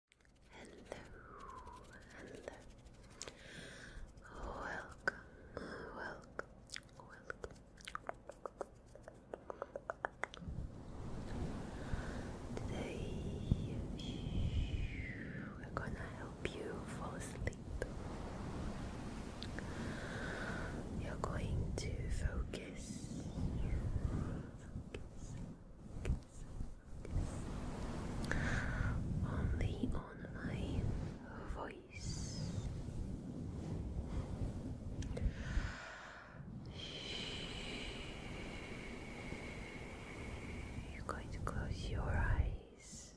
hello. Welcome, welcome, welcome. Today we're gonna help you fall asleep. You're going to focus, focus, focus, only on my voice. You're going to close your eyes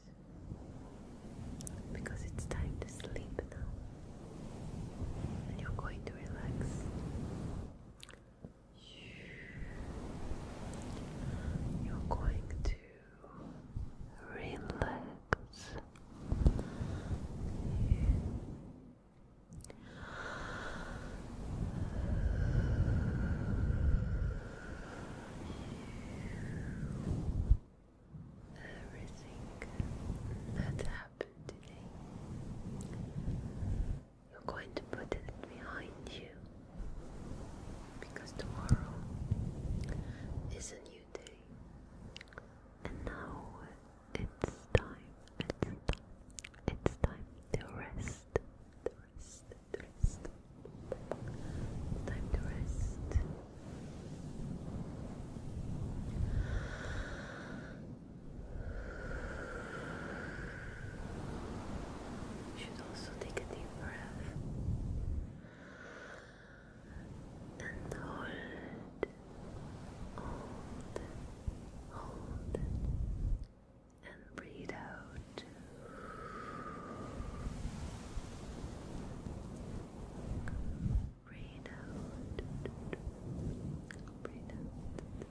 because it's time to sleep now, and you're going to relax. You're going to relax. Everything that happened today you're going to put it behind you because tomorrow is a new day, and now it's time, it's time, it's time to rest, rest, rest. time to rest. You should also take a deep breath and hold, hold, hold, and breathe out. Breathe out. Breathe out.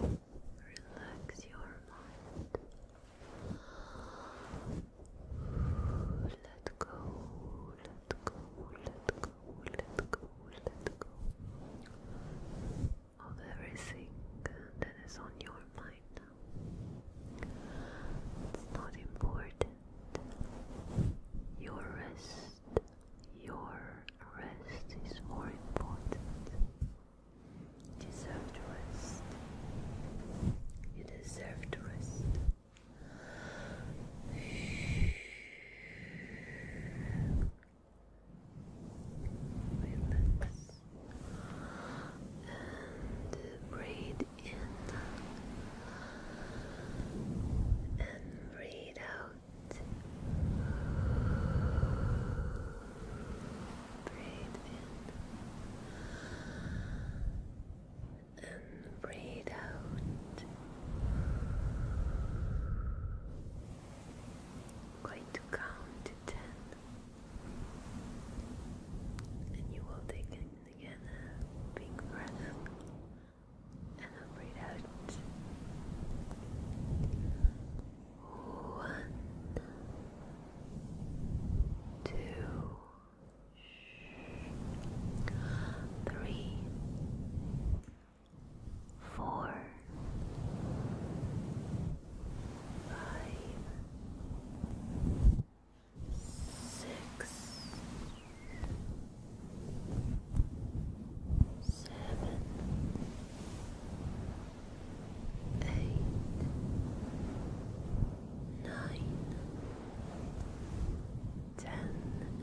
Relax your mind. Let go, let go, let go, let go, let go of everything that is on your mind now. It's not important. Your rest your rest is more important. You deserve to rest. You deserve to rest. Relax and breathe in and breathe out. Breathe in and breathe out. i count to ten, and you will take in again a big breath and then breathe out. One, two, three, four, five, six seven, eight, nine, ten,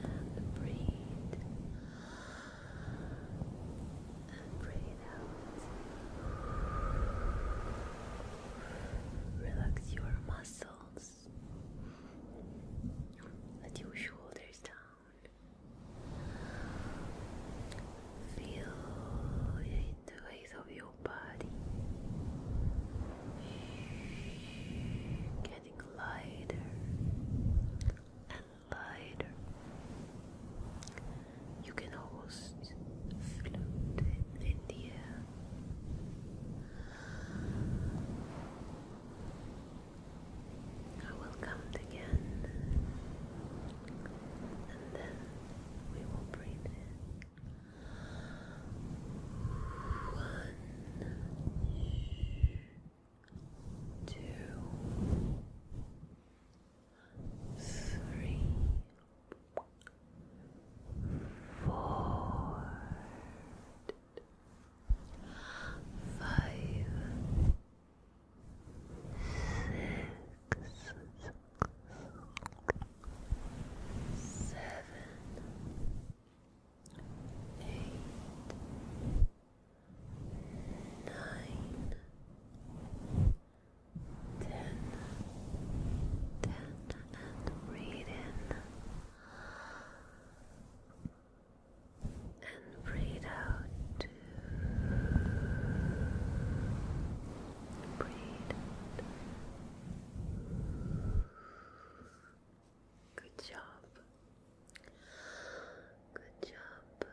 and breathe. And breathe out. Relax your muscles. Let your shoulders down. Feel the ways of your body getting lighter and lighter. You can almost float in the air. I will come again, and then we will breathe One, two, five, six, seven, eight, nine, ten, ten, and breathe in and breathe out. Breathe Good job. Good job.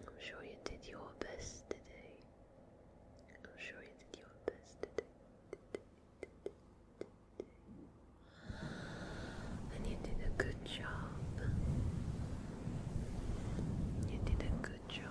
I'm sure you did your best today. I'm sure you did your best today. And you did a good job. You did a good job.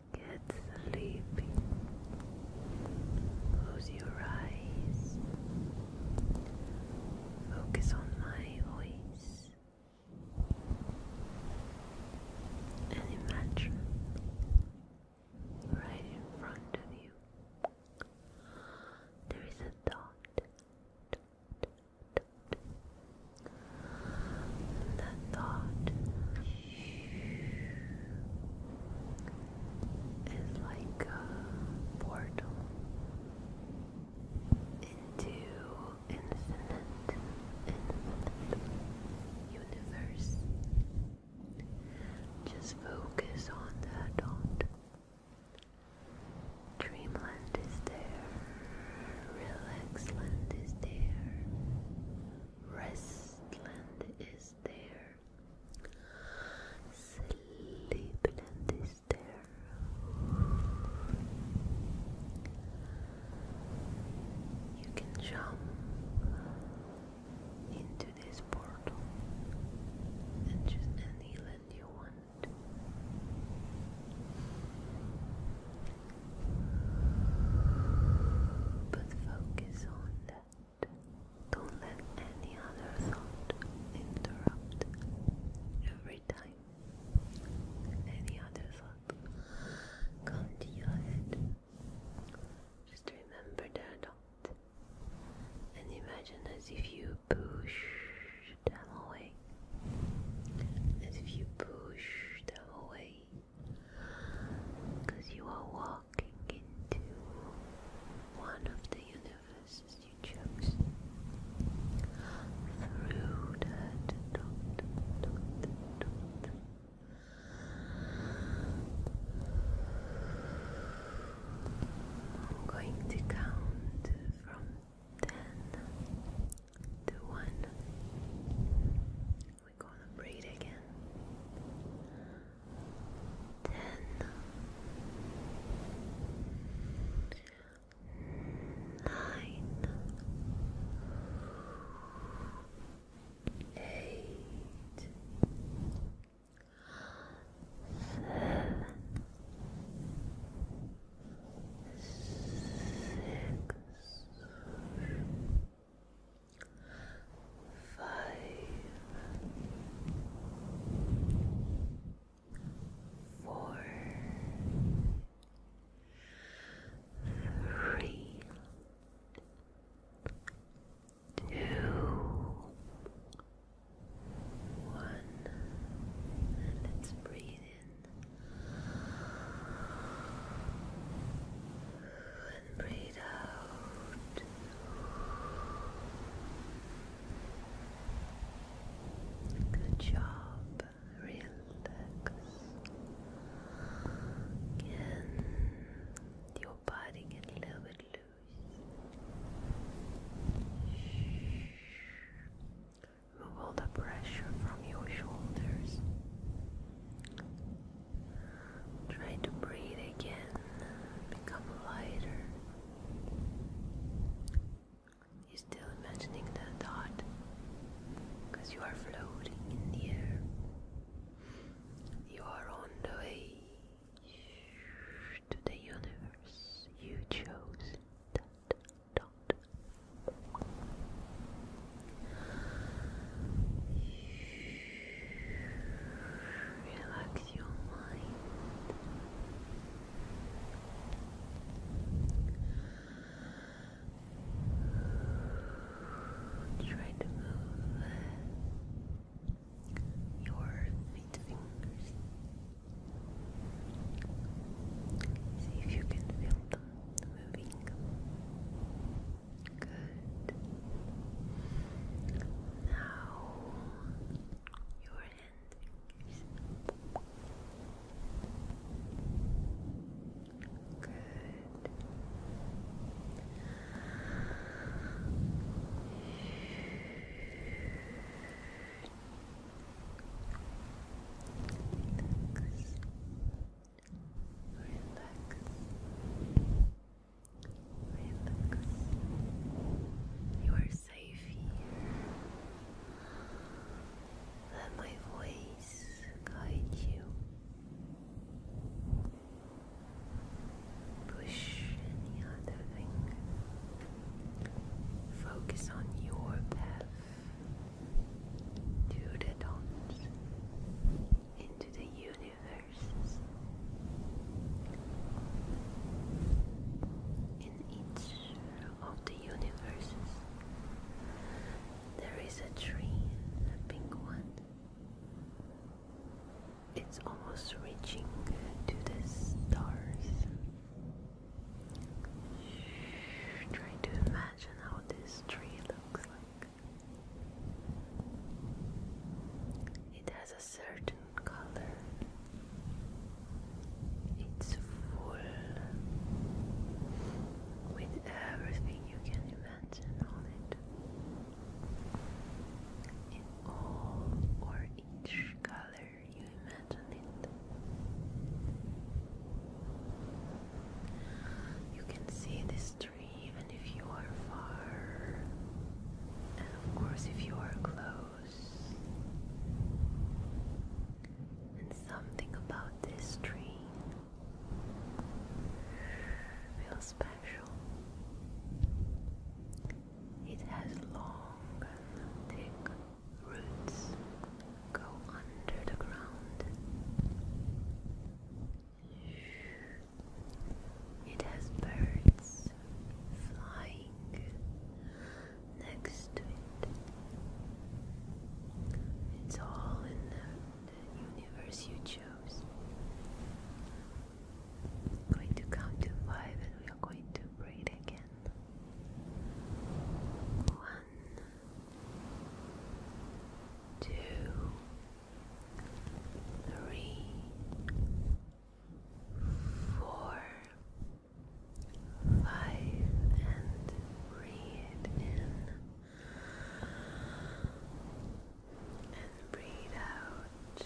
Get sleepy. Close your eyes. Focus on my voice. And imagine right in front of you there is a dot, that thought is like a portal into infinite, infinite universe. Just focus on that dot. Dreamland is there. Relax land is there. Rest land is there. Sleep land is there. You can jump into this portal and choose any land you want. But focus on that. Don't let any other thought interrupt. Every time any other thought comes to your head, just remember that thought and imagine as if you push them away. As if you push them away, because you are walking into one of the universes you chose. Through that dot, dot, dot. I'm going to count from ten to one. We're gonna breathe again. Ten, nine, eight, seven six, five, four, three, two, one, and let's breathe and breathe out. Good job. Relax. Again, your body get a little bit loose. Move the pressure from your shoulders. Try to breathe again, become lighter. You're still imagining the thought because you are floating in the air. You are on the way to the universe. You chose that dot. Relax your mind. Try to move your feet fingers. See if you can feel them moving. Good. Now your hand is good. Relax. Relax. Relax. You are safe here. Let my voice guide you. Push any other thing Focus on your path to the dawn into the universe. In each of the universes, there is a tree, a pink one. It's almost reaching to the stars. Try to imagine how this tree looks like. It has a certain color. It's full with everything you can imagine on it. In all or each color you imagine it. You can see this tree even if you are far, and of course, if you are close. And something about this tree feels special. It has long, thick roots go under the ground. It has birds flying next to it. It's all in the, universe you chose. I'm going to count to five and we are going to breathe again. One, two, three, four, five, and breathe in breathe out.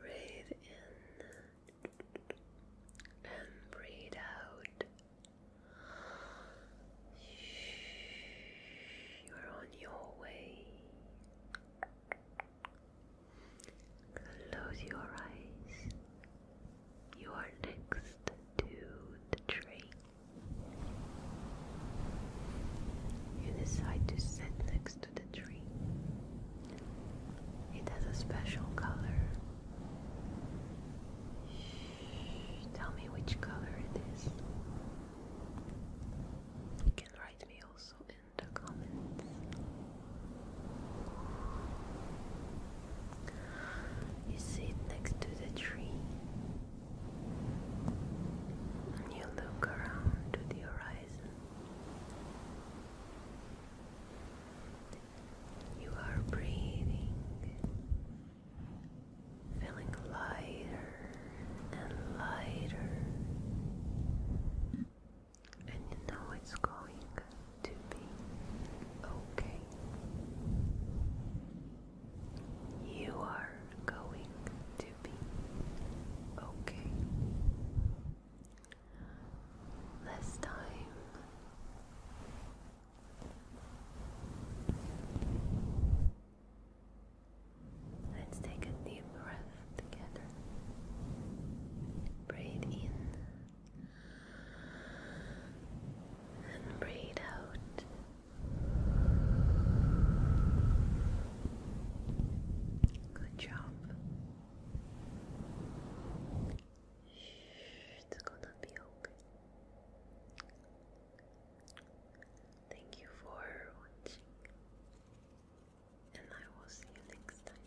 Breathe in and breathe out. You're on your way. Close your eyes. You are next to the train. You decide to sit next to the tree. It has a special color. tell me which color it is. You can write me also in the comments. You sit next to the tree you look around to the horizon. You are breathing, feeling lighter and lighter, and you know it's going to be okay. You are going to be okay. This time, let's take a deep breath together. Breathe in and breathe out. Good job. It's gonna be okay. Thank you for watching, and I will see you next time.